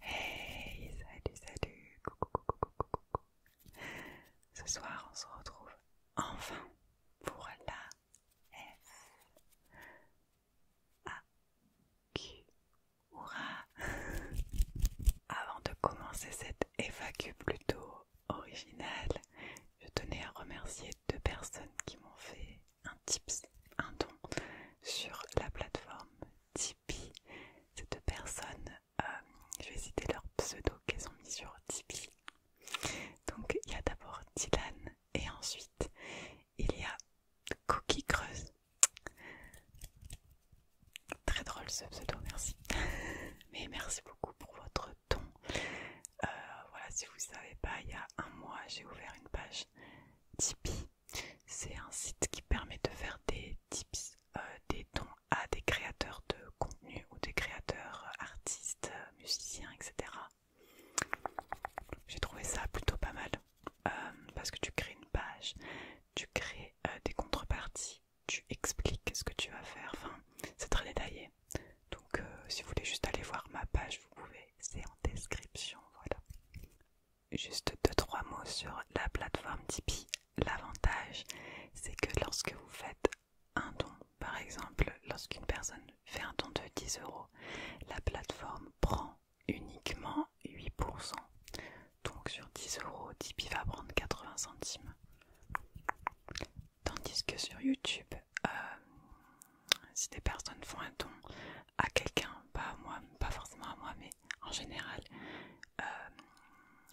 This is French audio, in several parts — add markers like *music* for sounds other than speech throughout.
Hey, salut, salut, coucou, coucou, coucou, coucou. Ce soir, on se retrouve enfin pour la F ah, A *laughs* Avant de commencer cette FAQ plutôt originale, je tenais à remercier deux personnes qui m'ont fait un tips, un don sur la plateforme Tip cette Ces deux personnes, euh, je vais citer leur pseudo qu'elles ont mis sur Tipeee. Donc il y a d'abord Dylan et ensuite il y a Cookie Creuse. Très drôle ce pseudo, merci. *laughs* Mais merci beaucoup pour votre ton. Euh, voilà, si vous ne savez pas, il y a un mois, j'ai ouvert une page Tipeee c'est un site qui permet de faire des tips, euh, des dons à des créateurs de contenu ou des créateurs euh, artistes, euh, musiciens, etc. J'ai trouvé ça plutôt pas mal parce que tu crées une page, tu crées des contreparties, tu expliques ce que tu vas faire. Enfin, c'est très détaillé. Donc, si vous voulez juste aller voir ma page, vous pouvez. C'est en description, voilà juste deux trois mots sur la plateforme Tipeee. L'avantage, c'est que lorsque vous faites un don, par exemple, lorsqu'une personne fait un don de 10 euros, la plateforme prend uniquement 8%. Donc sur 10 euros, Tipeee va prendre 80 centimes. Tandis que sur YouTube, euh, si des personnes font un don à quelqu'un, pas moi, pas forcément à moi, mais en général, euh,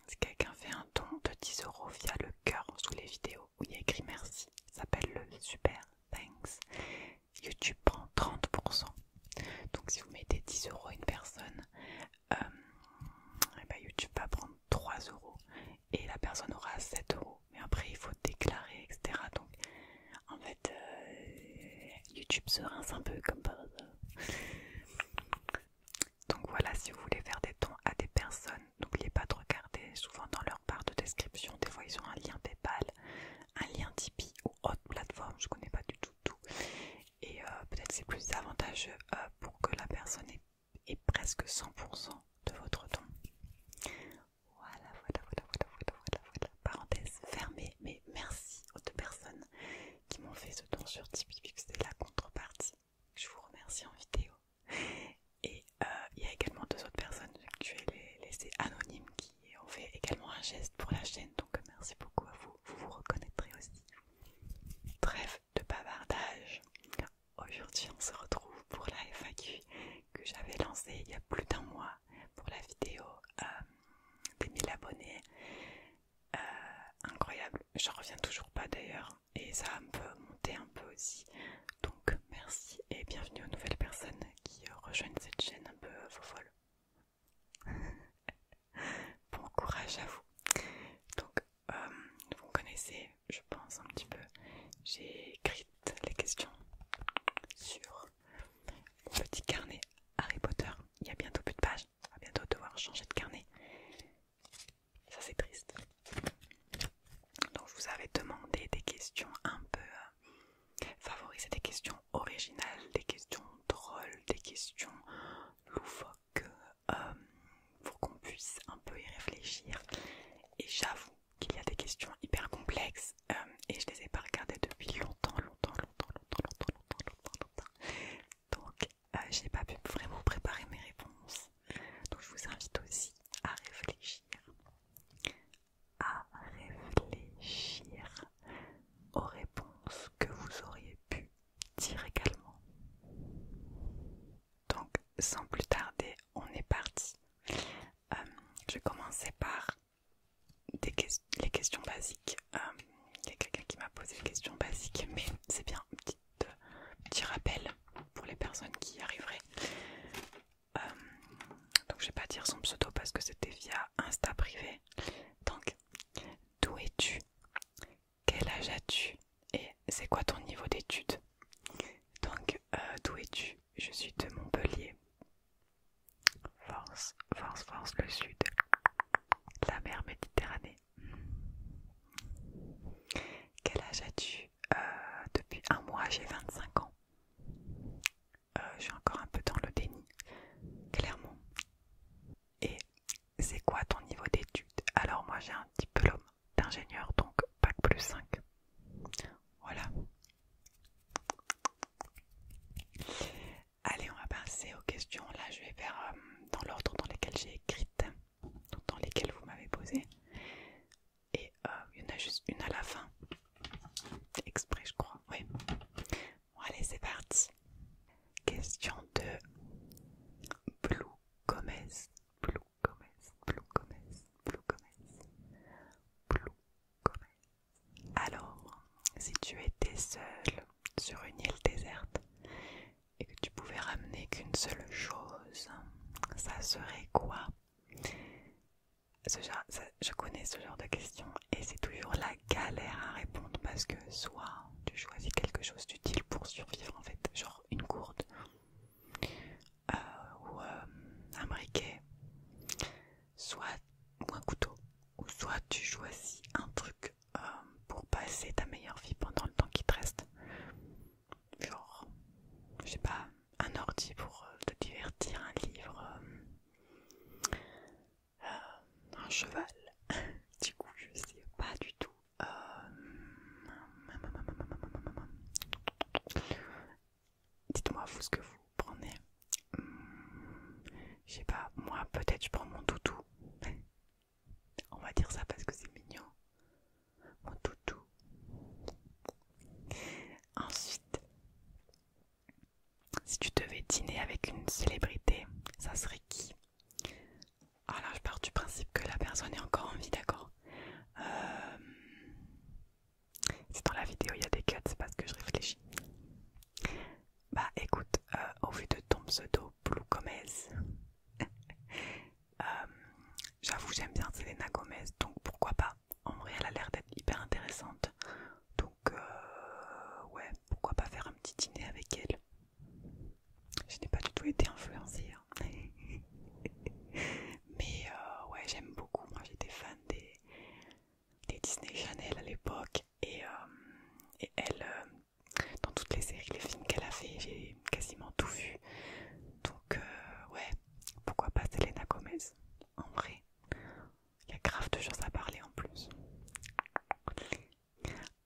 si quelqu'un fait un don de 10 euros via le cœur sous les vidéos où il y a écrit merci, ça s'appelle le super thanks. YouTube prend 30%. Donc si vous mettez 10 euros une personne, euh, eh ben, YouTube va prendre 3 euros et la personne aura 7 euros. Mais après il faut déclarer, etc. En fait, euh, YouTube se rince un peu comme Donc voilà, si vous voulez faire des dons à des personnes, n'oubliez pas de regarder souvent dans leur barre de description. Des fois, ils ont un lien PayPal, un lien Tipeee ou autre plateforme, je connais pas du tout tout. Et euh, peut-être c'est plus avantageux euh, pour que la personne ait, presque 100% de votre don. Voilà, voilà, voilà, voilà, voilà, voilà, voilà. Parenthèse fermée, mais merci aux deux personnes *laughs* qui m'ont fait ce don sur Tipeee, puisque c'est la contrepartie. Je vous remercie en vidéo. Et euh, il y a également deux autres personnes que je vais laisser anonymes qui ont fait également un geste pour la chaîne. Donc merci beaucoup à vous, vous vous reconnaîtrez aussi. Bref, de bavardage. Aujourd'hui on se retrouve pour la FAQ que j'avais lancée il y a plus d'un mois pour la vidéo euh, des mille abonnés. Euh, incroyable, j'en reviens toujours pas d'ailleurs et ça a un peu monté un peu aussi. Donc merci et bienvenue aux nouvelles personnes qui euh, rejoignent cette chaîne un peu euh, fofolle folle. *laughs* bon courage à vous. Donc vous connaissez, je pense un petit peu, j'ai écrit les questions sur mon petit carnet Harry Potter, il y a bientôt plus de pages. On va bientôt devoir changer de carnet. Ça c'est triste. Donc je vous avais demandé des questions un peu euh, favorisées, des questions originales, des questions drôles, des questions loufoques euh, pour qu'on puisse un peu y réfléchir. Et j'avoue qu'il y a des questions hyper complexes euh, et je les ai pas regardées depuis longtemps, longtemps, longtemps, longtemps, longtemps, longtemps, longtemps, donc, euh, je n'ai pas pu vraiment préparer mes réponses. Donc, je vous invite aussi à réfléchir. À réfléchir aux réponses que vous auriez pu dire également. Donc, sans plus tarder, on est parti. Euh, je vais commencer par les questions basiques. Euh, il y a quelqu'un qui m'a posé des questions basiques, mais c'est bien euh, petit, rappel pour les personnes qui y arriveraient. Euh, donc je vais pas dire son pseudo parce que c'était via Insta privé. Donc, d'où es-tu Quel âge as-tu Et c'est quoi ton niveau d'études Donc, d'où es-tu Je suis de Montpellier. Force, force, force le sud. La mer Méditerranée. Quel âge as-tu euh, Depuis un mois, j'ai 25 ans. Euh, je suis encore un peu dans le déni, clairement. Et c'est quoi ton niveau d'études Alors moi j'ai un diplôme d'ingénieur, donc bac plus 5. Voilà. Allez, on va passer aux questions. Là, je vais faire euh, dans l'ordre dans lequel j'ai écrite, dans lesquelles vous m'avez posé. Et euh, il y en a juste une à la fin. Exprès, je crois. Oui. Bon, allez, c'est parti. Question de Blue Gomez. Blue Gomez. Blue Gomez. Blue Gomez. Blue Gomez. Alors, si tu étais seul sur une île déserte et que tu pouvais ramener qu'une seule chose, ça serait quoi Je connais ce genre de questions et c'est toujours la galère à répondre parce que soit tu choisis quelque chose d'utile pour survivre en fait, genre une courte euh, ou euh, un briquet, soit un couteau, ou soit tu choisis un truc euh, pour passer ta meilleure vie pendant le temps qui te reste. Genre, je sais pas, un ordi pour euh, te divertir, un livre, euh, un cheval. *laughs* du coup, je sais pas du tout. Dites-moi vous ce que vous prenez je sais pas, moi peut-être je prends mon toutou. *laughs* On va dire ça parce que c'est mignon. Mon toutou. Ensuite, si tu devais dîner avec une célébrité, ça serait qui Alors ah, je pars du principe que la personne est encore en vie, d'accord euh, C'est dans la vidéo, il y a des cuts, c'est parce que je réfléchis. Bah écoute, euh, au vu de ton pseudo Blue Gomez, *laughs* euh, j'avoue j'aime bien Selena Gomez, donc pourquoi pas En vrai elle a l'air d'être hyper intéressante, donc euh, ouais, pourquoi pas faire un petit dîner avec elle Je n'ai pas du tout été influencée, hein. *laughs* mais ouais j'aime beaucoup, moi j'étais fan des, des Disney Channel à l'époque, euh, et, elle, euh, dans toutes les séries, les films qu'elle a fait, j'ai quasiment tout vu. Donc euh, ouais, pourquoi pas Selena Gomez En vrai, il y a grave de choses à parler en plus.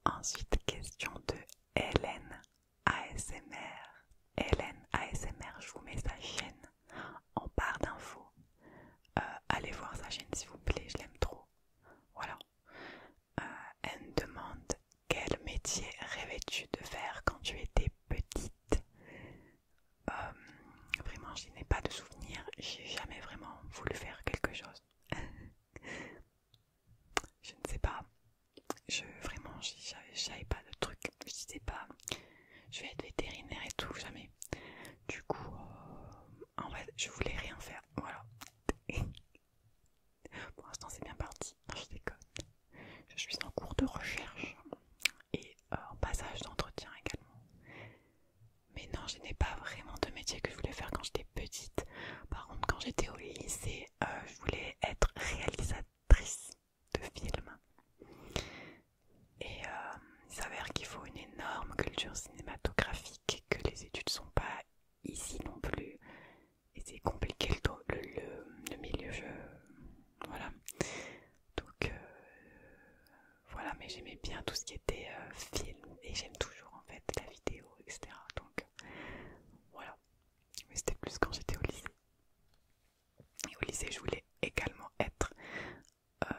Ensuite, question de Hélène ASMR. Hélène ASMR, je vous mets sa chaîne en barre d'infos. allez voir sa chaîne s'il vous plaît, je l'aime trop. Voilà. Euh, elle elle demande quel métier rêvais-tu de faire quand tu étais petite euh, Vraiment, je n'ai pas de souvenir. J'ai jamais vraiment voulu faire quelque chose. *laughs* je ne sais pas. Je vraiment, je n'avais pas de truc. Je disais pas. Je vais être vétérinaire et tout, jamais. Du coup, euh, en fait, je voulais rien faire. Voilà. *laughs* Pour l'instant, c'est bien parti. je déconne. Je suis en cours de recherche et euh, en passage d'entretien également. Mais non, je n'ai pas vraiment de métier que je voulais faire quand j'étais petite. Par contre, quand j'étais au lycée, euh, je voulais être réalisatrice de films. Et euh, il s'avère qu'il faut une énorme culture cinématographique, que les études sont pas ici non plus, et c'est compliqué le, milieu. Voilà. Donc euh, voilà, mais j'aimais bien tout ce qui était euh, film et j'aime toujours en fait la vidéo, etc. Donc voilà. Mais c'était plus quand j'étais au lycée. Et au lycée, je voulais également être euh,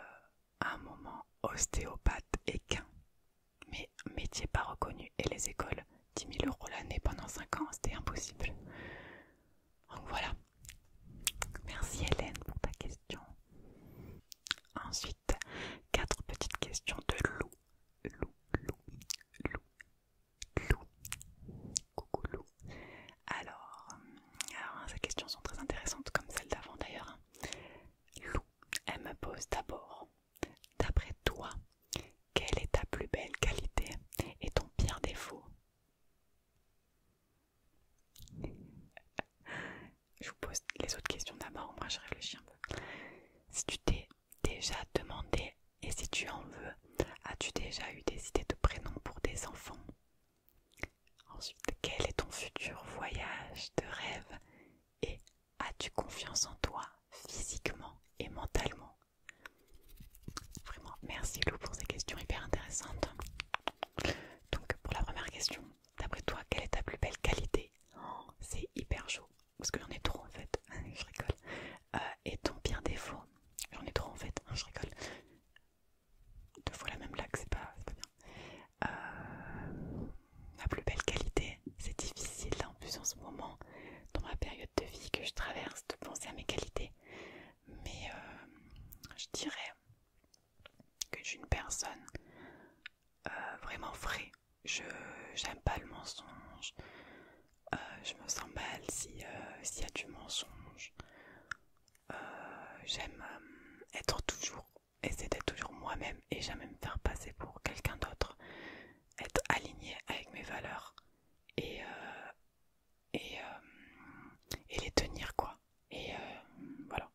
un moment ostéopathe équin, mais métier pas reconnu et les écoles, 10 000 euros l'année pendant 5 ans, c'était impossible. Donc voilà. Merci Hélène pour ta question. Ensuite, quatre petites questions de Loup Loup Loup Loup Lou. Coucou Loup Alors, euh, hein, ces questions sont très intéressantes comme celles d'avant d'ailleurs. Hein. Lou, elle me pose d'abord. D'après toi, quelle est ta plus belle qualité et ton pire défaut Je vous pose les autres questions d'abord, moi je réfléchis un peu. Si tu t'es déjà demandé et si tu en veux, as-tu déjà eu des idées de prénoms pour des enfants Ensuite, quel est ton futur voyage de rêve et as-tu confiance en toi physiquement et mentalement Vraiment, merci Lou pour ces questions hyper intéressantes. Donc pour la première question, d'après toi, quelle est ta plus belle qualité oh, C'est hyper chaud, parce que j'en ai trop en fait, *laughs* je rigole. Euh, et ton pire défaut J'en ai trop en fait, je rigole. Deux fois la même blague, c'est pas, pas bien. Euh, ma plus belle qualité. C'est difficile hein, en plus en ce moment, dans ma période de vie que je traverse, de penser à mes qualités. Mais euh, je dirais que je suis une personne euh, vraiment vraie. Je j'aime pas le mensonge. je me sens mal s'il y a du mensonge. j'aime être toujours et c'était toujours moi-même et jamais me faire passer pour quelqu'un d'autre, être aligné avec mes valeurs et, euh, euh, et, les tenir quoi. Et euh, voilà,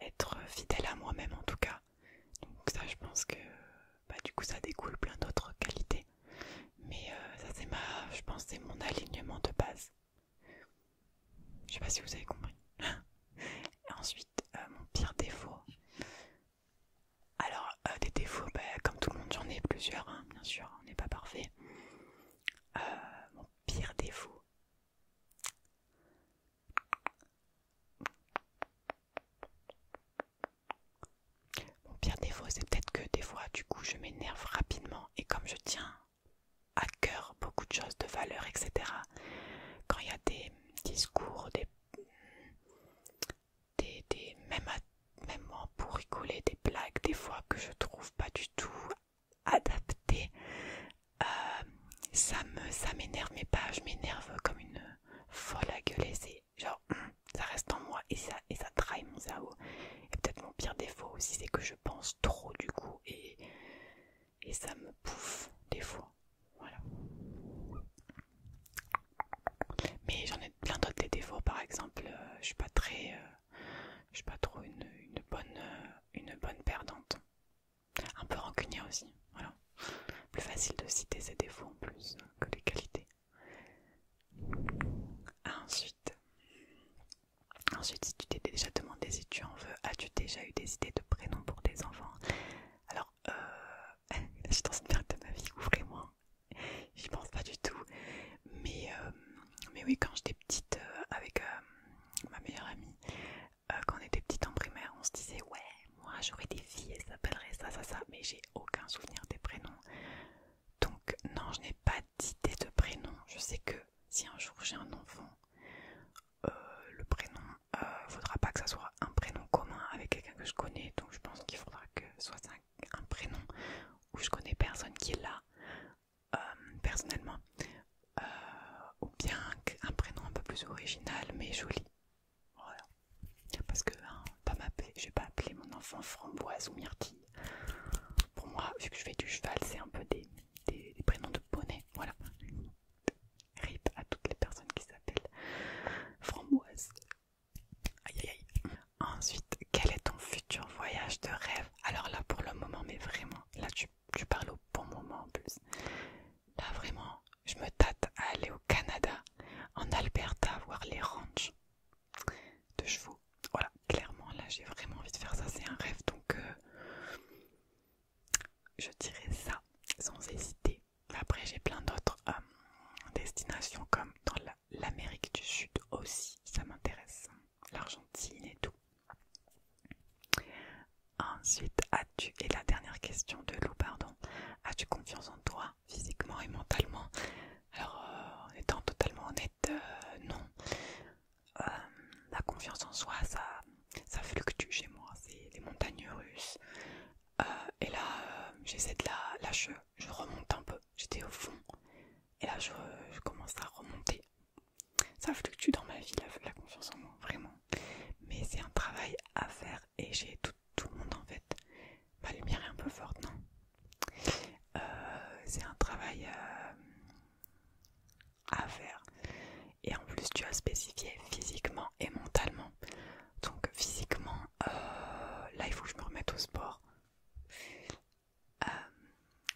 être fidèle à moi-même en tout cas. Donc ça je pense que bah, du coup ça découle plein d'autres qualités. Mais ça c'est ma, je pense c'est mon alignement de base. Je sais pas si vous avez compris. ensuite, euh, mon pire défaut. Alors, euh, des défauts, bah, comme tout le monde, j'en ai plusieurs, hein, bien sûr, on n'est pas parfait. Euh, mon pire défaut. Mon pire défaut, c'est peut-être que des fois, du coup, je m'énerve rapidement et comme je tiens à cœur beaucoup de choses de valeur, etc. Quand il y a des discours, des, des, des même, pour rigoler, des blagues, des fois que je trouve pas du tout adaptées, euh, ça me, ça m'énerve, mais pas, je m'énerve comme une folle à gueuler, c'est genre hum, ça reste en moi et ça, et ça trahit mon zao. Et peut-être mon pire défaut aussi, c'est que je pense trop du coup et et ça me bouffe des fois. Voilà. Mais j'en ai plein d'autres des défauts. Par exemple, euh, je suis pas très, euh, je suis pas trop une, bonne, euh, une bonne perdante. Un peu rancunière aussi. Voilà. Plus facile de citer ces défauts en plus que les qualités. Ensuite, ensuite, si tu t'es déjà demandé si tu en veux, as-tu déjà eu des idées prénoms pour des enfants. Alors, j'ai euh, *laughs* je suis dans une période de ma vie où moi j'y pense pas du tout. Mais, euh, mais oui, quand j'étais petite euh, avec ma meilleure amie, quand on était petite en primaire, on se disait ouais, moi j'aurais des filles, ça s'appellerait ça, ça, ça, mais j'ai aucun souvenir des prénoms. Donc non, je n'ai pas d'idée de prénoms. Je sais que si un jour j'ai un enfant, euh, le prénom, il euh, faudra pas que ça soit un prénom commun avec quelqu'un que je connais, donc je pense qu'il faudra que ce soit un, prénom où je connais personne qui est là euh, personnellement, ou bien un prénom un peu plus original mais joli. Voilà. Parce que hein, pas pas je vais pas appeler mon enfant framboise ou myrtille. Pour moi, vu que je fais du cheval, c'est un peu des, des prénoms de poney. Voilà. Rip à toutes les personnes qui s'appellent Framboise. Aïe aïe Ensuite, quel est ton futur voyage de rêve Alors là, pour le moment, mais vraiment, là tu, parles au bon moment en plus. Là, vraiment, je me tâte à aller au Canada, en Alberta, voir les ranchs de chevaux. Voilà, clairement, là j'ai vraiment envie de faire ça, c'est un rêve donc. Euh, je dirais ça sans hésiter. Après, j'ai plein d'autres euh, destinations comme dans l'Amérique du Sud aussi, ça m'intéresse, l'Argentine et tout. Ensuite, as-tu, et la dernière question de Lou, pardon, as-tu confiance en toi physiquement et mentalement Alors, euh, en étant totalement honnête, euh, non. Euh, la confiance en soi, ça, ça fluctue chez moi. C'est les montagnes russes. Euh, et là, euh, j'essaie de la lâcher. Je remonte un peu. J'étais au fond. Et là, je, commence à remonter. Ça fluctue dans ma vie, la, confiance en moi, vraiment. Mais c'est un travail à faire. Et j'ai tout, le monde en fait. Ma lumière est un peu forte, non C'est un travail à faire. Et en plus, tu as spécifié physiquement et mentalement. Donc physiquement, euh, là, il faut que je me remette au sport. Euh,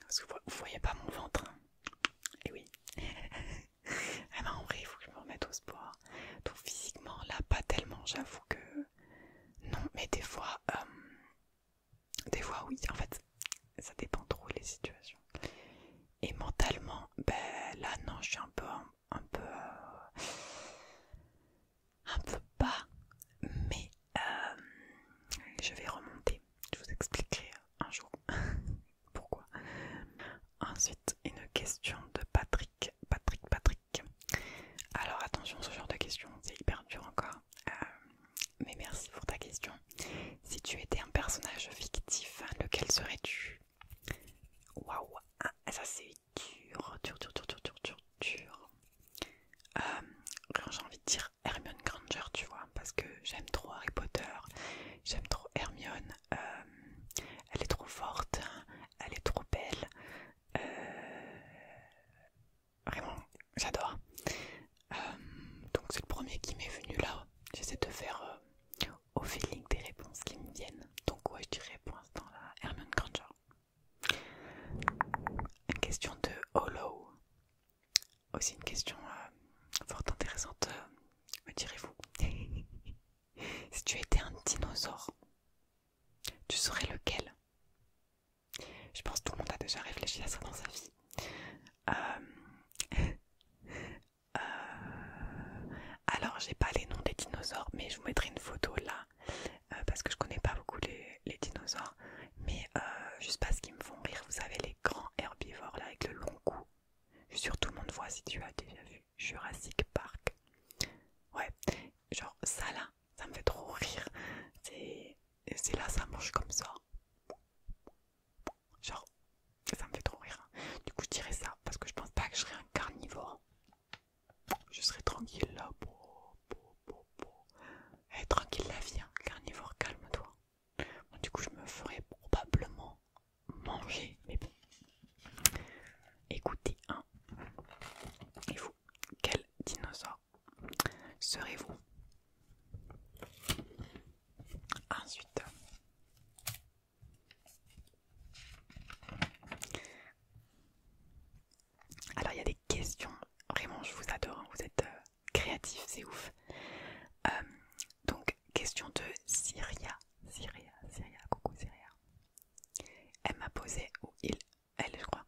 parce que vous, voyez pas mon ventre. et hein. eh oui. *laughs* en vrai, il faut que je me remette au sport. Donc physiquement, là, pas tellement, j'avoue que... Non, mais des fois... Euh, des fois oui, en fait, ça dépend trop les situations. Et mentalement, ben là non, je suis un peu, un, peu, euh, un peu bas, mais euh, je vais remonter. Je vous expliquerai un jour *laughs* pourquoi. Ensuite, une question de Patrick, Patrick, Patrick. Alors attention, ce genre de questions, c'est hyper dur encore. Euh, mais merci pour ta question si tu étais un personnage fictif, lequel serais-tu Waouh, ah, ça c'est dur, dur, dur, dur, dur, dur, dur. Euh, j'ai envie de dire Hermione Granger, tu vois, parce que j'aime trop Harry Potter, j'aime trop Hermione. Euh, elle est trop forte, elle est trop belle. Euh, vraiment, j'adore. Euh, donc c'est le premier qui m'est venu là. J'essaie de faire au feeling des réponses qui me viennent. Donc ouais, je dirais pour l'instant là, Hermione Granger. Une question de Hollow. Aussi une question euh, fort intéressante, euh, me direz-vous. *laughs* si tu étais un dinosaure, tu serais lequel Je pense que tout le monde a déjà réfléchi à ça dans sa vie. Euh, *laughs* Euh, alors j'ai pas les noms des dinosaures mais je vous mettrai une photo là euh, parce que je connais pas beaucoup les, dinosaures mais euh, juste parce qu'ils me font rire vous savez les grands herbivores là avec le long cou je suis tout le monde voit si tu as déjà vu Jurassic Park ouais genre ça là ça me fait trop rire c'est là ça mange comme ça Genre, ça me fait trop rire. Hein. Du coup, je dirais ça parce que je pense pas que je serais un carnivore. Je serais tranquille là. Eh, tranquille la vie, hein. carnivore, calme-toi. du coup, je me ferais probablement manger. Mais bon. Écoutez, hein. Et vous, quel dinosaure serez-vous Ensuite, alors il y a des questions. Vraiment, je vous adore. Hein. Vous êtes euh, créatifs, c'est ouf. Euh, donc, question de Syria. Syria, Syria, coucou Syria. Elle m'a posé, ou il, elle, je crois,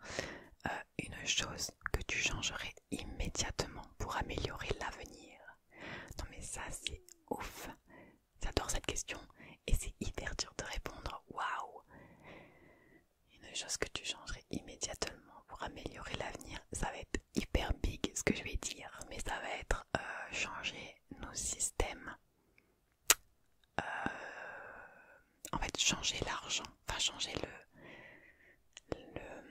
euh, une chose que tu changerais immédiatement pour améliorer l'avenir. Non mais ça c'est ouf. J'adore cette question et c'est hyper dur de répondre. Waouh Une chose que tu changerais immédiatement pour améliorer l'avenir, ça va être hyper big ce que je vais dire, mais ça va être euh, changer nos systèmes. Euh, en fait, changer l'argent, enfin changer le, le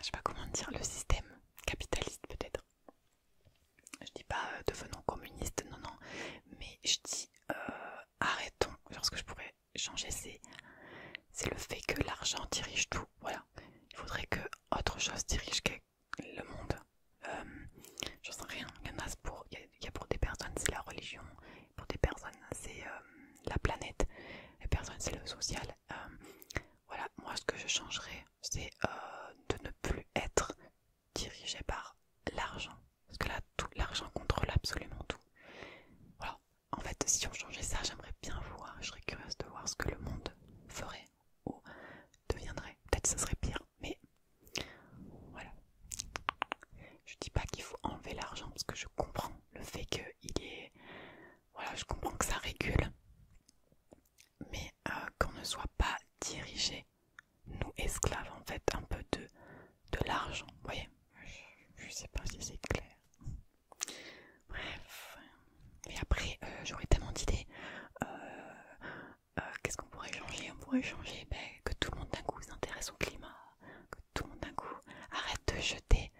je sais pas comment dire, le système capitaliste peut-être. Je dis pas euh, devenons communistes, non, non, mais je dis euh, arrêtons. Genre ce que je pourrais changer, c'est le fait que l'argent dirige tout. Voilà, il faudrait que autre chose dirige le monde. je euh, J'en sais rien, il y en a pour, pour des personnes c'est la religion, pour des personnes c'est la planète, les personnes c'est le social. Voilà, moi ce que je changerais, c'est euh, de ne plus être dirigé par l'argent. Parce que là, l'argent contrôle absolument tout. Voilà, en fait, si on changeait ça, j'aimerais bien voir, je serais curieuse de voir ce que le monde ferait ou deviendrait. Peut-être que ça serait pire, mais voilà. Je dis pas qu'il faut enlever l'argent parce que je comprends le fait qu'il est voilà, je comprends que ça régule, mais euh, qu'on ne soit pas dirigé, nous esclaves en fait, un peu de, de l'argent. Vous voyez Je sais pas si c'est clair. Bref. Et après, euh, j'aurais tellement d'idées. Euh, qu'est-ce qu'on pourrait changer On pourrait changer ben, que tout le monde d'un coup s'intéresse au climat, que tout le monde d'un coup arrête de jeter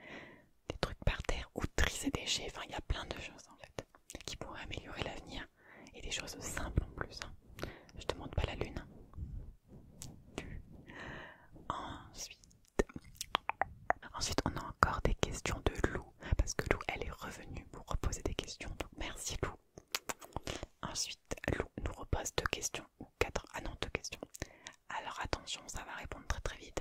des trucs par terre ou tri des déchets. Enfin, il y a plein de choses en fait qui pourraient améliorer l'avenir et des choses simples en plus. Hein. Je te montre pas la lune. Hein. Ensuite, ensuite, on a encore des questions de Lou parce que Lou, elle est revenue pour reposer des questions. Donc merci Lou. Ensuite, Lou nous repose deux questions ou quatre. Ah non, deux questions. Alors attention, ça va répondre très très vite.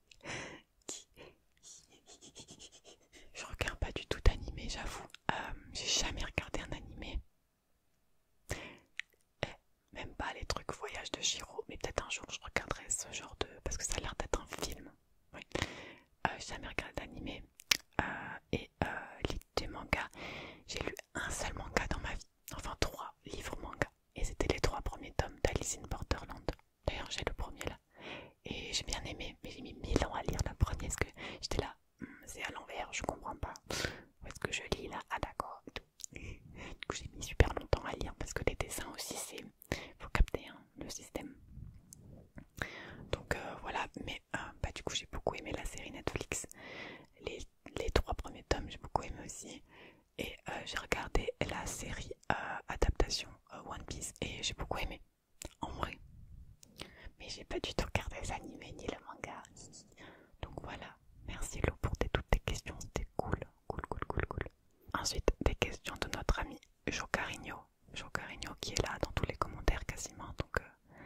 je regarde pas du tout d'animé, j'avoue. Euh, j'ai jamais regardé un animé. Eh, même pas les trucs voyage de Giro, mais peut-être un jour je regarderai ce genre de. parce que ça a l'air d'être un film. Euh, j'ai jamais regardé d'animé. Euh, et euh, des mangas. J'ai lu un seul manga dans ma vie. Enfin trois livres manga. Et c'était les trois premiers tomes d'Alice in Borderland. D'ailleurs, j'ai le premier là. Et j'ai bien aimé, mais j'ai mis mille ans à lire la première parce que j'étais là, hmm, c'est à l'envers, je comprends pas. Où est-ce que je lis là Ah d'accord. Du coup, j'ai mis super longtemps à lire parce que les dessins aussi, c'est faut capter hein, le système. Donc euh, voilà, mais euh, bah, du coup, j'ai beaucoup aimé la série Netflix. Les, trois premiers tomes, j'ai beaucoup aimé aussi. Et euh, j'ai regardé la série adaptation One Piece et j'ai beaucoup aimé en vrai mais j'ai pas du tout regardé les ni le manga donc voilà merci Lou pour toutes tes questions c'était cool cool cool cool cool ensuite des questions de notre ami Jean Jocarigno qui est là dans tous les commentaires quasiment donc euh,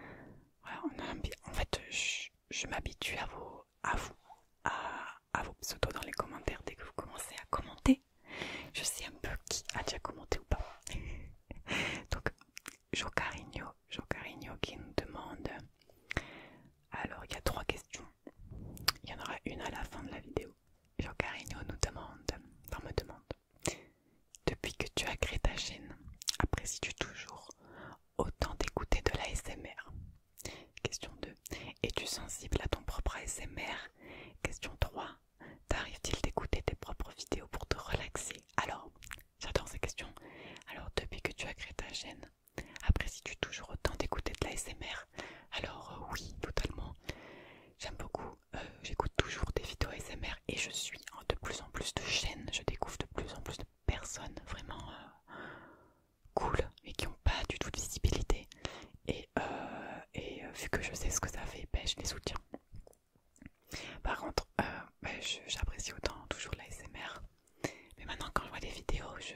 voilà on a, en fait je, m'habitue à vos à vous à, à vos pseudos dans les commentaires dès que vous commencez à commenter je sais un peu qui a déjà commenté ou pas. *laughs* Donc, Jocarigno, Jocarigno qui nous demande. Alors, il y a trois questions. Il y en aura une à la fin de la vidéo. Jocarigno nous demande, enfin me demande, depuis que tu as créé ta chaîne, apprécies-tu toujours autant d'écouter de la SMR Question 2. Es-tu sensible à ton propre ASMR Question 3 tarrives t il d'écouter tes propres vidéos pour te relaxer Alors, j'adore ces questions. Alors, depuis que tu as créé ta chaîne, apprécies-tu toujours autant d'écouter de la SMR Alors, euh, oui, totalement. J'aime beaucoup, euh, j'écoute toujours des vidéos ASMR et je suis en de plus en plus de chaînes, je découvre de plus en plus de personnes vraiment euh, cool et qui n'ont pas du tout de visibilité et, euh, euh, vu que je sais ce que ça fait, ben, je les soutiens. Par contre, euh, ben, j'apprécie autant toujours la SMR, mais maintenant quand je vois des vidéos, je,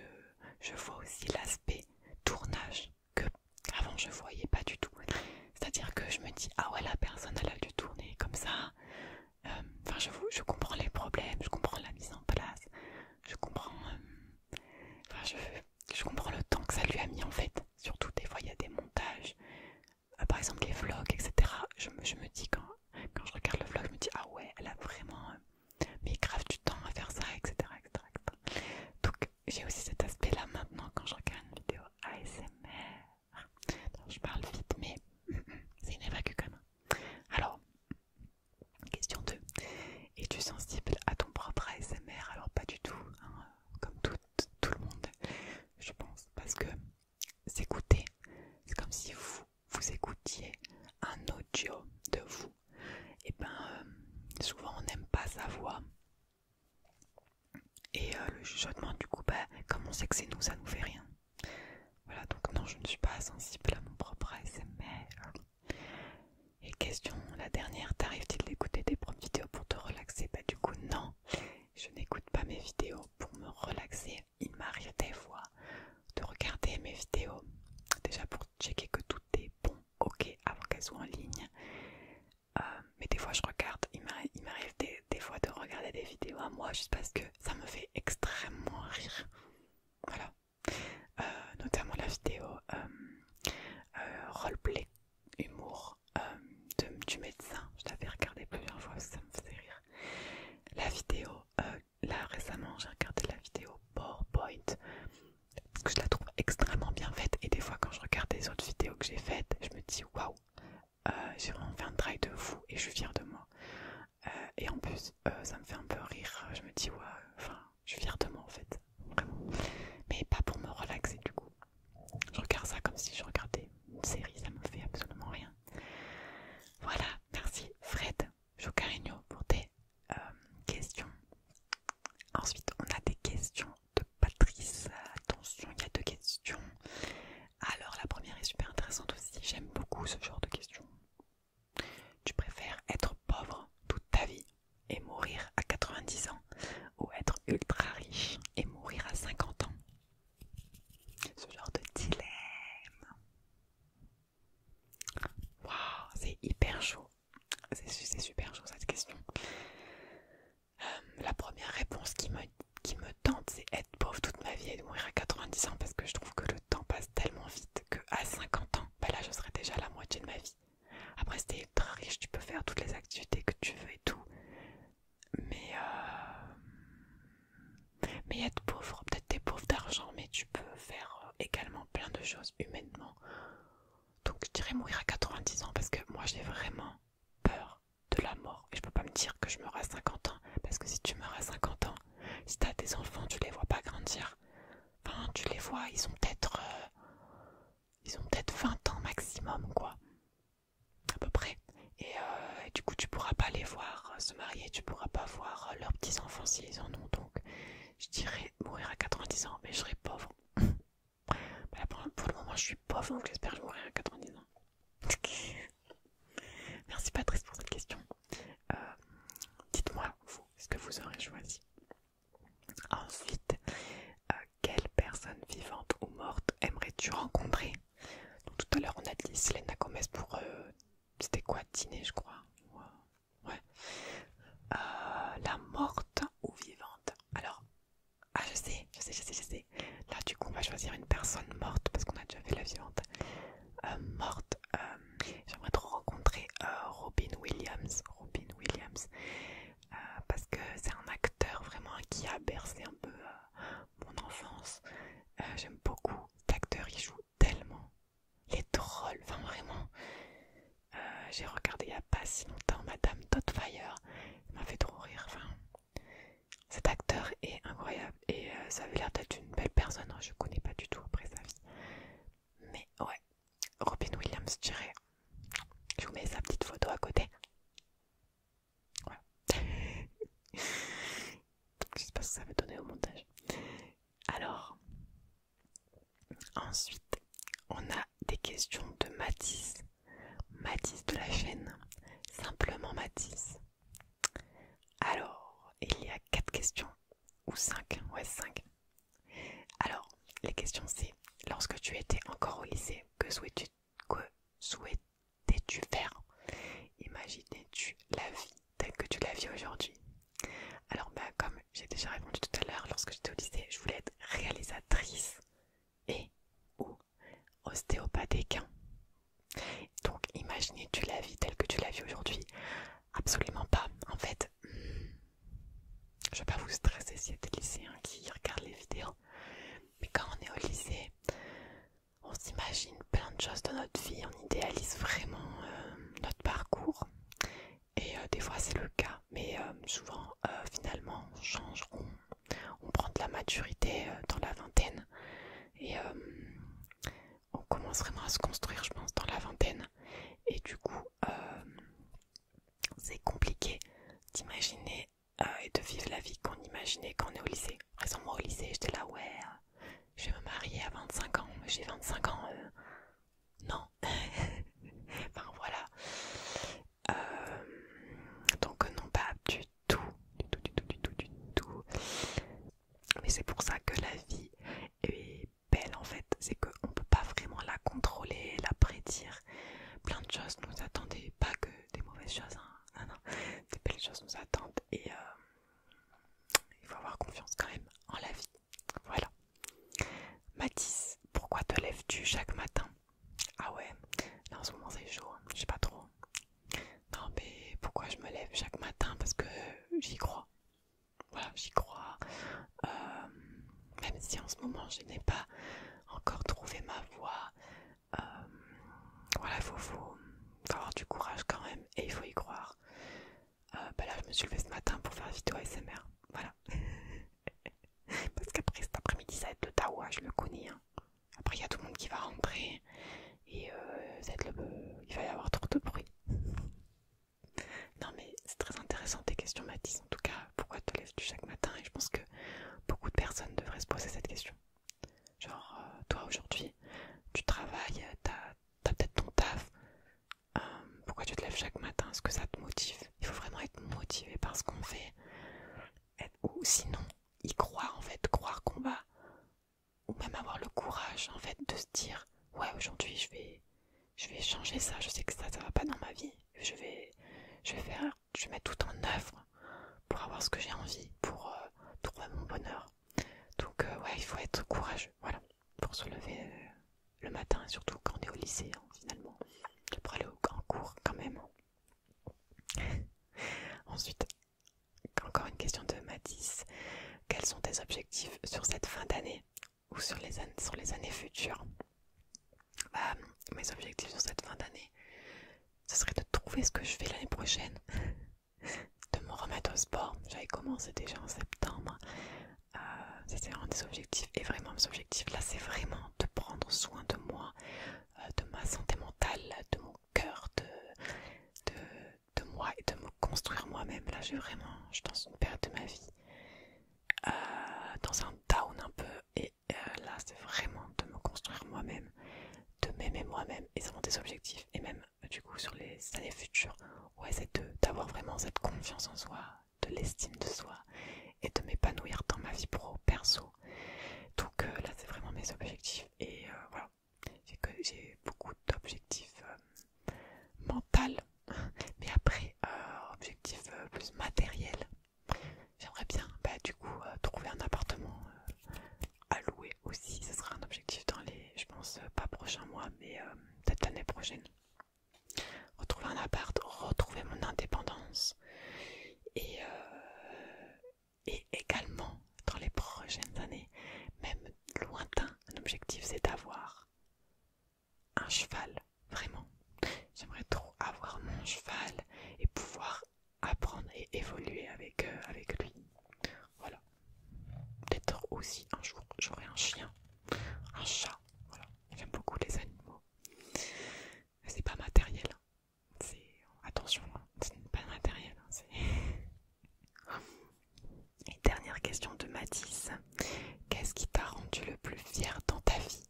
vois aussi l'aspect tournage que avant je voyais pas du tout. C'est-à-dire que je me dis ah ouais la personne elle a dû tourner comme ça. Enfin je, comprends les problèmes, je comprends la mise en place, je comprends, je comprends le temps que ça lui a mis en fait surtout des fois il y a des montages, euh, par exemple des vlogs, etc. Je me, dis quand, quand je regarde le vlog, je me dis ah ouais, elle a vraiment euh, mis grave du temps à faire ça, etc. etc., Donc j'ai aussi cet aspect là maintenant quand je regarde une vidéo ASMR. je parle vite, mais *laughs* c'est une évacue quand même. Alors, question 2. Es-tu sensible à ton propre ASMR Alors pas du tout. Hein comme tout, tout le monde, je pense, parce que s'écouter, c'est comme si vous, vous écoutiez un audio de vous. Et ben, euh, souvent on n'aime pas sa voix. Et euh, le chuchotement, du coup, bah, comme on sait que c'est nous, ça nous fait rien. Voilà, donc non, je ne suis pas sensible à mon propre ASMR. Et question, la dernière, tarrives t il d'écouter des propres vidéos pour te relaxer Bah du coup non, je n'écoute pas mes vidéos pour me relaxer. Il m'arrive des fois de regarder mes vidéos, déjà pour checker que tout est bon, ok, avant qu'elles soient en ligne. Euh, mais des fois je regarde, il m'arrive des, fois de regarder des vidéos à moi juste parce que ça me fait extrêmement rire. Voilà. Euh, notamment la vidéo euh, roleplay humour euh, du médecin. Je l'avais regardé plusieurs fois, ça me faisait rire. La vidéo, euh, là récemment, j'ai regardé la vidéo PowerPoint parce que je la trouve extrêmement bien faite. Et des fois, quand je regarde les autres vidéos que j'ai faites, je me dis waouh, euh, j'ai vraiment fait un travail de fou et je suis fière de moi. et en plus, ça me fait un peu rire. Je me dis waouh, enfin, je suis fière de moi en fait, vraiment. Mais pas pour me relaxer du coup. Je regarde ça comme si je regardais une série, ça me fait absolument rien. Voilà, merci Fred Jocarino pour tes euh, questions. Ensuite, on a des questions de Patrice. Attention, il y a deux questions. Alors, la première est super intéressante aussi. J'aime beaucoup ce genre de questions. Tu préfères être pauvre toute ta vie et mourir à 90 ans ou être ultra riche et mourir à 50 ans. Ce genre de dilemme. Waouh, c'est hyper chaud. C'est super chaud cette question. Euh, la première réponse qui me, tente, c'est être pauvre toute ma vie et de mourir à 90 ans parce que je trouve que le temps passe tellement vite que à 50 ans, ben là je serais déjà la moitié de ma vie. Après, être très riche, tu peux faire toutes les activités que tu veux et tout. Mais, euh, mais être pauvre, peut-être t'es pauvre d'argent, mais tu peux faire euh, également plein de choses humainement. Donc, je dirais mourir à 90 ans parce que moi j'ai vraiment peur de la mort et je peux pas me dire que je meurs à 50 ans parce que si tu meurs à 50 ans, si t'as des enfants, tu les vois pas grandir. Enfin, tu les vois, ils sont peut-être. Euh, ils ont peut-être 20 ans maximum, quoi. À peu près. Euh, et, du coup, tu pourras pas les voir euh, se marier, tu pourras pas voir euh, leurs petits-enfants s'ils en ont. Donc, je dirais mourir à 90 ans, mais je serai pauvre. *laughs* pour, le moment, je suis pauvre, donc j'espère mourir à 90 ans. *laughs* Merci Patrice pour cette question. Dites-moi, vous, ce que vous aurez choisi. Ensuite, euh, quelle personne vivante ou morte aimerais-tu rencontrer Tout à l'heure, on a dit Selena Gomez pour. Euh, c'était quoi Dîner, je crois Ouais. Euh, la morte ou vivante Alors, ah, je sais, je sais, je sais, je sais. Là, du coup, on va choisir une personne morte parce qu'on a déjà fait la vivante. morte, j'aimerais trop rencontrer Robin Williams. Robin Williams. Euh, parce que c'est un acteur vraiment qui a bercé un peu euh, mon enfance. Euh, j'aime beaucoup cet acteur, il joue tellement. les est drôle, enfin vraiment. J'ai regardé il n'y a pas si longtemps Madame Fire, il m'a fait trop rire. Enfin, cet acteur est incroyable et ça avait l'air d'être une belle personne, hein, je connais pas du tout après sa vie. Mais ouais, Robin Williams, je Je vous mets sa petite photo à côté. Voilà. *laughs* je sais pas ce que ça va donner au montage. Alors, ensuite, on a des questions de Matisse. Matisse de la chaîne. Simplement Matisse. Alors, il y a 4 questions. Ou 5. Ouais, 5. Alors, les question c'est, lorsque tu étais encore au lycée, que souhaitais-tu faire Imaginais-tu la vie telle que tu la vis aujourd'hui Alors, bah, comme j'ai déjà répondu tout à l'heure, lorsque j'étais au lycée, je voulais être réalisatrice et ou ostéopathe Donc, imaginais-tu la vie telle que tu la vis aujourd'hui Absolument pas. En fait, hmm, je vais pas vous stresser s'il y a des lycéens qui regardent les vidéos, mais quand on est au lycée, on s'imagine plein de choses de notre vie, on idéalise vraiment euh, notre parcours, et euh, des fois c'est le cas, mais euh, souvent finalement on change, on, prend de la maturité dans la vingtaine, et on commence vraiment à se construire, je pense, dans la vingtaine, et du coup, c'est compliqué d'imaginer euh, et de vivre la vie qu'on imaginait quand on est au lycée. récemment au lycée, j'étais là, ouais, euh, je vais me marier à 25 ans, j'ai 25 ans, euh. non. *laughs* enfin voilà. donc non, pas du tout, du tout, du tout, du tout, du tout. Mais c'est pour ça que la vie est belle en fait, c'est qu'on ne peut pas vraiment la contrôler, la prédire plein de choses nous attendaient, pas que des mauvaises choses, hein. non, non, des belles choses nous attendent et euh, il faut avoir confiance quand même en la vie. Voilà. Mathis, pourquoi te lèves-tu chaque matin Ah ouais, là en ce moment c'est chaud, hein. je sais pas trop. Non mais pourquoi je me lève chaque matin Parce que j'y crois. Voilà, j'y crois. Euh, même si en ce moment je n'ai pas encore trouvé ma voie. Euh, voilà, il faut, avoir du courage quand même et il faut y croire. Euh, bah là, je me suis levée ce matin pour faire une vidéo ASMR. Voilà. *laughs* Parce qu'après cet après-midi, ça va être le Tawa, je le connais. Hein. Après, il y a tout le monde qui va rentrer et il va y avoir trop de bruit. *laughs* Non, mais c'est très intéressant tes questions, Mathis. En tout cas, pourquoi te lèves-tu chaque matin Et je pense que beaucoup de personnes devraient se poser cette question. Genre, euh, toi aujourd'hui, tu travailles, t'as as, peut-être ton taf, euh, pourquoi tu te lèves chaque matin Est-ce que ça te motive Il faut vraiment être motivé par ce qu'on fait. Ou sinon, y croire en fait, croire qu'on va, ou même avoir le courage en fait de se dire, ouais aujourd'hui je vais je vais changer ça, je sais que ça, ne va pas dans ma vie. Je vais, faire, je mets mettre tout en œuvre pour avoir ce que j'ai envie, pour euh, trouver mon bonheur. Donc, euh, ouais, il faut être courageux, voilà, pour se lever euh, le matin, surtout quand on est au lycée, hein, finalement, pour aller au, en cours quand même. *laughs* Ensuite, encore une question de Matisse. Quels sont tes objectifs sur cette fin d'année ou sur les, sur les années futures, bah, mes objectifs sur cette fin d'année, ce serait de trouver ce que je fais l'année prochaine, *laughs* de me remettre au sport. J'avais commencé déjà en septembre. Euh, c'était un des objectifs. Et vraiment, mes objectifs là, c'est vraiment de prendre soin de moi, euh, de ma santé mentale, de mon cœur, de, de, moi et de me construire moi-même. Là, j'ai vraiment, je suis dans une période de ma vie, euh, dans un down un peu et euh, là c'est vraiment de me construire moi-même, de m'aimer moi-même et d'avoir des objectifs et même du coup sur les années futures, ouais c'est d'avoir vraiment cette confiance en soi, de l'estime de soi et de m'épanouir dans ma vie pro, perso. Donc euh, là c'est vraiment mes objectifs et euh, voilà, j'ai beaucoup d'objectifs mentaux *laughs* mais après objectifs plus matériels J'aimerais bien, bah, du coup, euh, trouver un appartement euh, à louer aussi. Ce sera un objectif dans les, je pense, euh, pas prochains mois, mais cette peut-être l'année prochaine. Retrouver un appart, retrouver mon indépendance. Et, et également, dans les prochaines années, même lointain, un objectif, c'est d'avoir un cheval, vraiment. J'aimerais trop avoir mon cheval et pouvoir apprendre et évoluer euh, avec, lui. Voilà. Peut-être aussi un jour j'aurai un chien, un chat. Voilà. J'aime beaucoup les animaux. C'est pas matériel. Hein. attention, hein, c'est pas matériel. Hein, *laughs* et dernière question de Mathis. Qu'est-ce qui t'a rendu le plus fier dans ta vie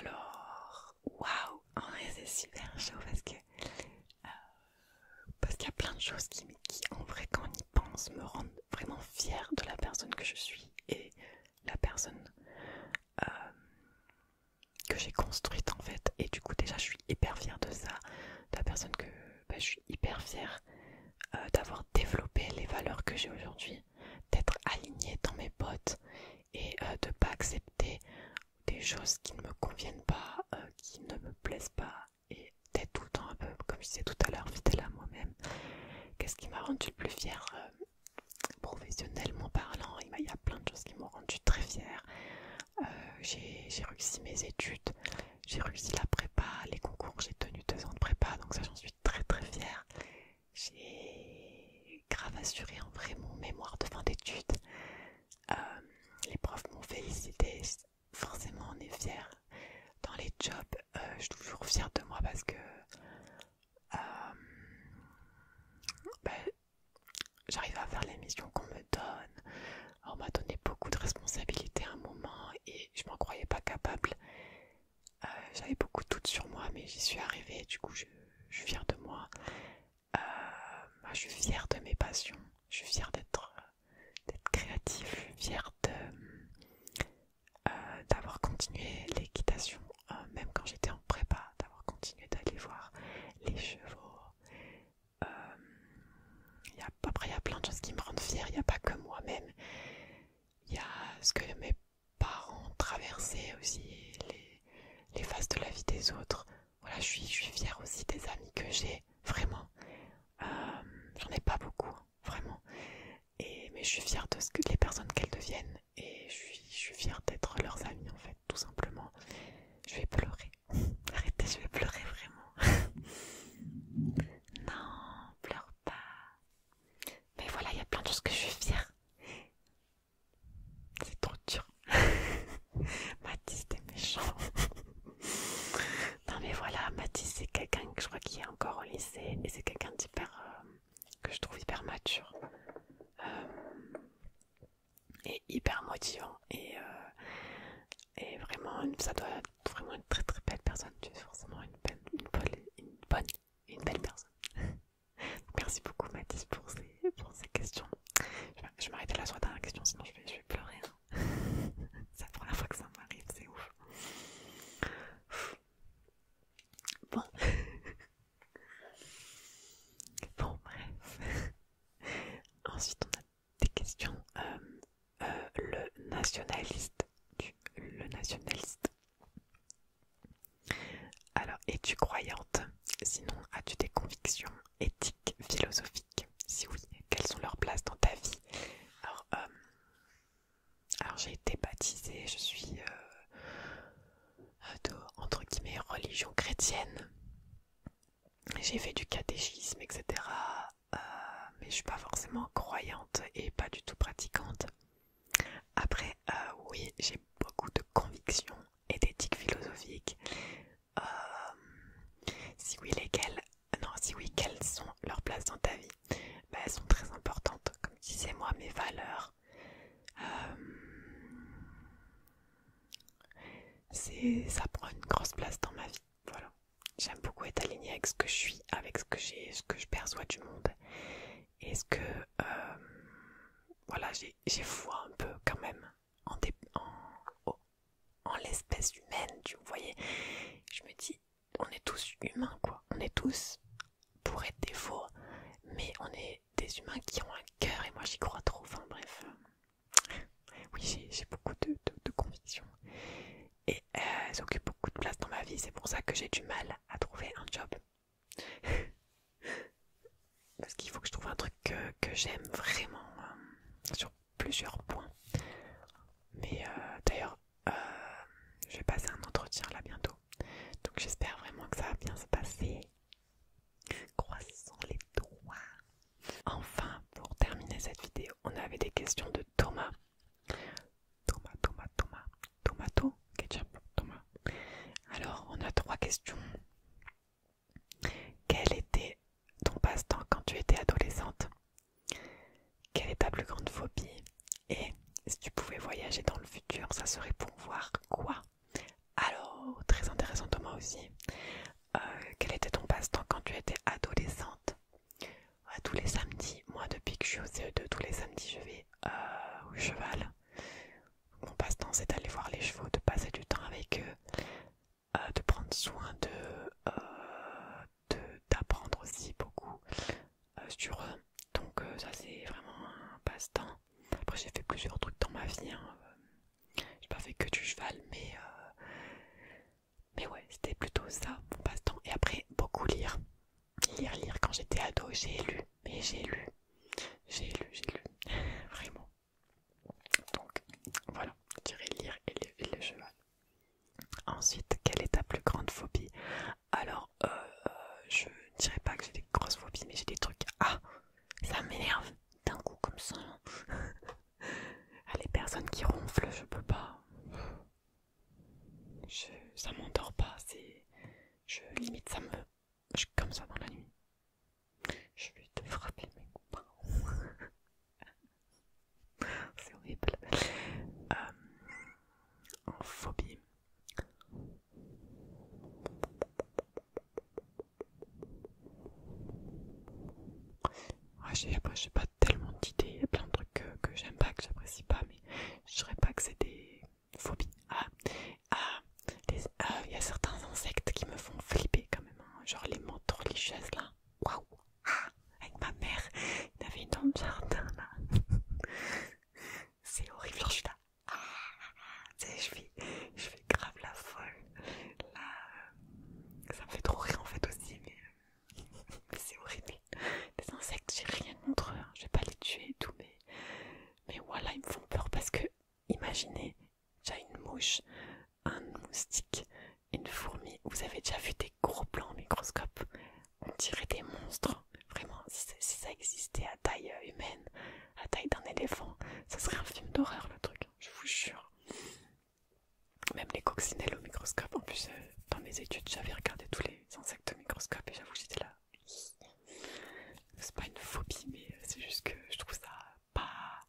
alors, waouh, en vrai c'est super chaud parce que euh, parce qu'il y a plein de choses qui, en vrai, quand on y pense, me rendent vraiment fière de la personne que je suis et la personne euh, que j'ai construite en fait. Et du coup, déjà, je suis hyper fière de ça, de la personne que bah, je suis hyper fière euh, d'avoir développé les valeurs que j'ai aujourd'hui d'être alignée dans mes bottes et euh, de pas accepter des choses qui ne me conviennent pas, euh, qui ne me plaisent pas et d'être tout le temps un peu, comme je disais tout à l'heure, fidèle à moi-même. Qu'est-ce qui m'a rendu le plus fière euh, professionnellement parlant Il y a plein de choses qui m'ont rendu très fière. j'ai réussi mes études, j'ai réussi la prépa, les concours, j'ai tenu deux ans de prépa, donc ça j'en suis très très fière j'ai grave assuré en vrai mon mémoire de fin d'études. Euh, les profs m'ont félicité, forcément on est fier. Dans les jobs, euh, je suis toujours fière de moi parce que euh, bah, j'arrive à faire les missions qu'on me donne. On m'a donné beaucoup de responsabilités à un moment et je ne m'en croyais pas capable. Euh, j'avais beaucoup de doutes sur moi, mais j'y suis arrivée. Du coup, je, suis fière de moi. Euh, je suis fière de mes passions. Je suis fière d'être créative. Je suis fière euh, d'avoir continué l'équitation, même quand j'étais en prépa, d'avoir continué d'aller voir les chevaux. après, il y a plein de choses qui me rendent fière. Il n'y a pas que moi-même. Il y a ce que mes parents traverser aussi les, phases de la vie des autres. Voilà, je suis, je suis fière aussi des amis que j'ai, vraiment. Euh, j'en ai pas beaucoup, hein, vraiment. Et, mais je suis fière de ce que, les personnes qu'elles deviennent et je suis, je suis fière d'être leurs amis en fait, tout simplement. Je vais pleurer. *laughs* Arrêtez, je vais pleurer vraiment. *laughs* non, pleure pas. Mais voilà, il y a plein de choses que je suis fière. C'est trop dur. *laughs* Mathis, t'es méchant. non, mais voilà, Mathis, c'est quelqu'un que je crois qui est encore au lycée et c'est quelqu'un d'hyper. Euh, que je trouve hyper mature. Euh, et hyper motivant. Euh, et, vraiment, ça doit être vraiment une très très belle personne. Tu es forcément une, une bonne une belle personne. *laughs* Merci beaucoup Mathis pour ces, questions. Je vais, vais m'arrêter là sur la question, sinon je vais, pleurer. Hein. *laughs* c'est la première fois que ça m'arrive, c'est ouf. Bon. *laughs* bon, bref. Ensuite, on a des questions. Euh, euh, le nationaliste. le nationaliste. Alors, es-tu croyante Sinon, as-tu des convictions éthiques, philosophiques Si oui, quelles sont leurs places dans ta vie Alors, euh, j'ai été baptisée, je suis euh, euh, de, entre guillemets religion chrétienne. J'ai fait du catéchisme, etc. mais je ne suis pas forcément croyante et pas du tout pratiquante. Après, euh, oui, j'ai beaucoup de convictions et d'éthique philosophique. Euh, si oui, lesquelles Non, si oui, quelles sont leur place dans ta vie ben, Elles sont très importantes, comme disais moi, mes valeurs. Euh, ça prend une grosse place dans ma vie. Voilà. J'aime beaucoup être alignée avec ce que je suis, avec ce que j'ai, ce que je perçois du monde. Est-ce que euh, voilà, j'ai foi un peu quand même en, en, l'espèce humaine, tu voyez Je me dis, on est tous humains quoi, on est tous pour être des faux, mais on est des humains qui ont un cœur et moi j'y crois trop. Enfin bref, oui j'ai beaucoup de, de, convictions et elles euh, occupent beaucoup de place dans ma vie, c'est pour ça que j'ai du mal à trouver un job *laughs* Parce qu'il faut que je trouve un truc que, j'aime vraiment euh, sur plusieurs points. Mais euh, d'ailleurs, euh, je vais passer un entretien là bientôt. Donc j'espère vraiment que ça va bien se passer. Croissant les doigts. Enfin, pour terminer cette vidéo, on avait des questions de Thomas. Toma, Toma, tomato, ketchup, Alors, on a trois questions. Quel était ton passe-temps quand tu étais adolescente Quelle est ta plus grande phobie Et si tu pouvais voyager dans le futur, ça serait pour voir quoi Alors, très intéressant Thomas aussi. Euh, quel était ton passe-temps quand tu étais adolescente euh, tous les samedis, moi depuis que je suis au CE2, tous les samedis je vais euh, cheval. Mon passe-temps, c'est d'aller voir les chevaux, de passer du temps avec eux, euh, de prendre soin de euh, d'apprendre aussi beaucoup sur eux. Donc ça, c'est vraiment un passe-temps. Après, j'ai fait plusieurs trucs dans ma vie. Hein. J'ai pas fait que du cheval, mais... mais ouais, c'était plutôt ça, mon passe-temps. Et après, beaucoup lire. Lire, lire, quand j'étais ado, j'ai lu, mais j'ai lu, j'ai lu, j'ai lu, *laughs* vraiment. Donc, voilà, je dirais lire et le, cheval. Ensuite, quelle est ta plus grande phobie Alors, euh, euh, je ne je dirais pas que j'ai des grosses phobies, mais j'ai des trucs. Ah, ça m'énerve d'un coup comme ça. *laughs* Ah, les personnes qui ronflent, je peux pas. Je, ça m'endort pas, c'est je limite ça me. Je suis comme ça dans la nuit. Je vais te frapper mes copains. *laughs* C'est horrible. Euh, en phobie. Je après, j'ai pas tellement d'idées. Il y a plein de trucs que, j'aime pas, que j'apprécie pas, mais je ne dirais pas que c'est phobie. Ah, il y a certains insectes qui me font flipper quand même, hein. genre les religieuses là. Waouh! Ah, avec ma mère, il avait une dans jardin là. C'est horrible, genre je suis là. Ah, ah, je fais, je grave la folle. Là, euh, ça me fait trop rire en fait aussi, mais euh, *laughs* c'est horrible. *laughs* des insectes, j'ai rien contre eux, hein. je vais pas les tuer et tout, mais, mais voilà, ils me font peur parce que, imaginez, j'ai une mouche, un moustique, une fourmi, vous avez déjà vu des gros plans au microscope, on dirait des monstres, vraiment, si, ça existait à taille euh, humaine, à taille d'un éléphant, ça serait un film d'horreur le truc, hein, je vous jure. Même les coccinelles au microscope, en plus, euh, dans mes études, j'avais regardé tous les insectes au microscope et j'avoue, j'étais là c'est pas une phobie mais c'est juste que je trouve ça pas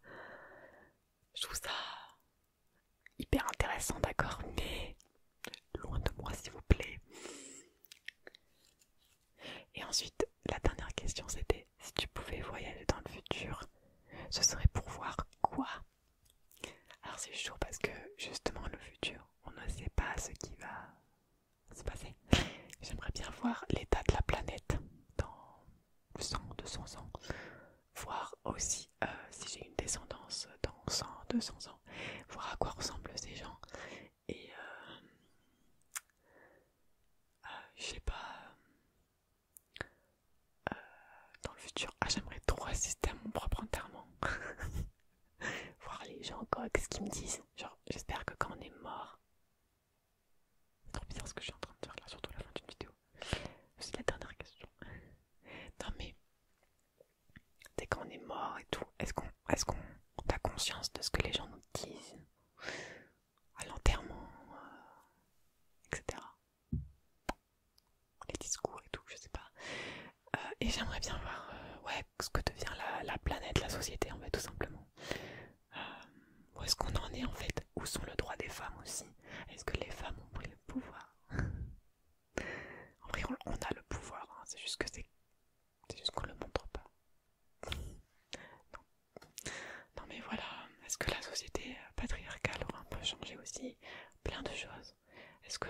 je trouve ça hyper intéressant d'accord mais loin de moi s'il vous plaît et ensuite la dernière question c'était si tu pouvais voyager dans le futur ce serait pour voir quoi alors c'est chaud parce que justement le futur on ne sait pas ce qui va c'est passé. J'aimerais bien voir l'état de la planète dans 100, 200 ans. Voir aussi euh, si j'ai une descendance dans 100, 200 ans. Voir à quoi ressemblent ces gens. Et euh, euh, je sais pas. dans le futur, ah, j'aimerais trop assister à mon propre enterrement. *laughs* *laughs* voir les gens quoi, ce qu'ils me disent genre j'espère que quand on est mort c'est trop bizarre ce que je suis en train de faire là surtout à la fin d'une vidéo c'est la dernière question *laughs* non mais dès qu'on est mort et tout est-ce qu'on est qu'on a conscience de ce que les gens nous disent à l'enterrement euh, etc les discours et tout je sais pas euh, et j'aimerais bien voir euh, ouais ce que devient la, planète, la société en fait tout simplement. Euh, où est-ce qu'on en est en fait Où sont le droit des femmes aussi Est-ce que les femmes ont pris le pouvoir *laughs* En vrai on, a le pouvoir, hein. c'est juste que c'est... juste qu'on le montre pas. *laughs* non. mais voilà, est-ce que la société patriarcale aura un peu changé aussi Plein de choses. Est-ce que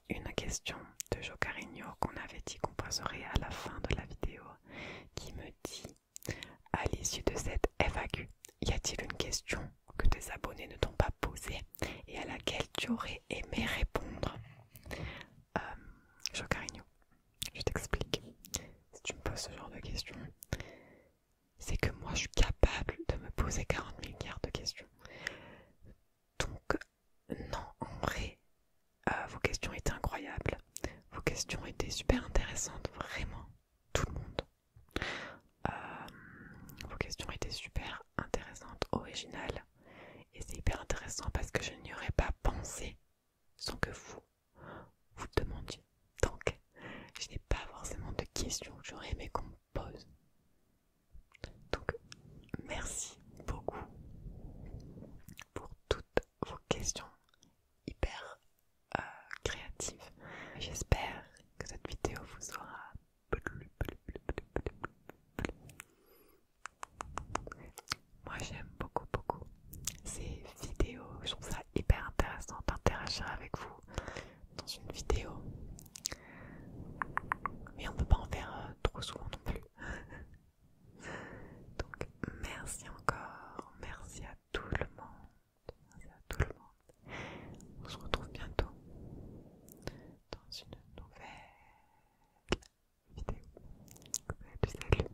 une question de Jocarigno qu'on avait dit qu'on poserait à la fin de la vidéo qui me dit à l'issue de cette FAQ, y a-t-il une question que tes abonnés ne t'ont pas posée et à laquelle tu aurais aimé répondre euh, je t'explique. Si tu me poses ce genre de questions, c'est que moi je suis capable de me poser 40 milliards de questions. Donc, non, en vrai, euh, vos questions étaient incroyables. Vos questions étaient super intéressantes, vraiment, tout le monde. Euh, vos questions étaient super intéressantes, originales. Et c'est hyper intéressant parce que je n'y aurais pas pensé sans que vous vous demandiez. Donc, je n'ai pas forcément de questions j'aurais aimé comprendre pause. Donc, merci beaucoup pour toutes vos questions hyper euh, créatives. J'espère que cette vidéo vous aura Moi j'aime beaucoup beaucoup ces vidéos, je trouve ça hyper intéressant d'interagir avec vous dans une vidéo. Mais on peut pas en faire euh, trop souvent non plus. *laughs* Donc merci encore, merci à tout le monde. à tout le monde. On se retrouve bientôt dans une nouvelle vidéo. salut. salut.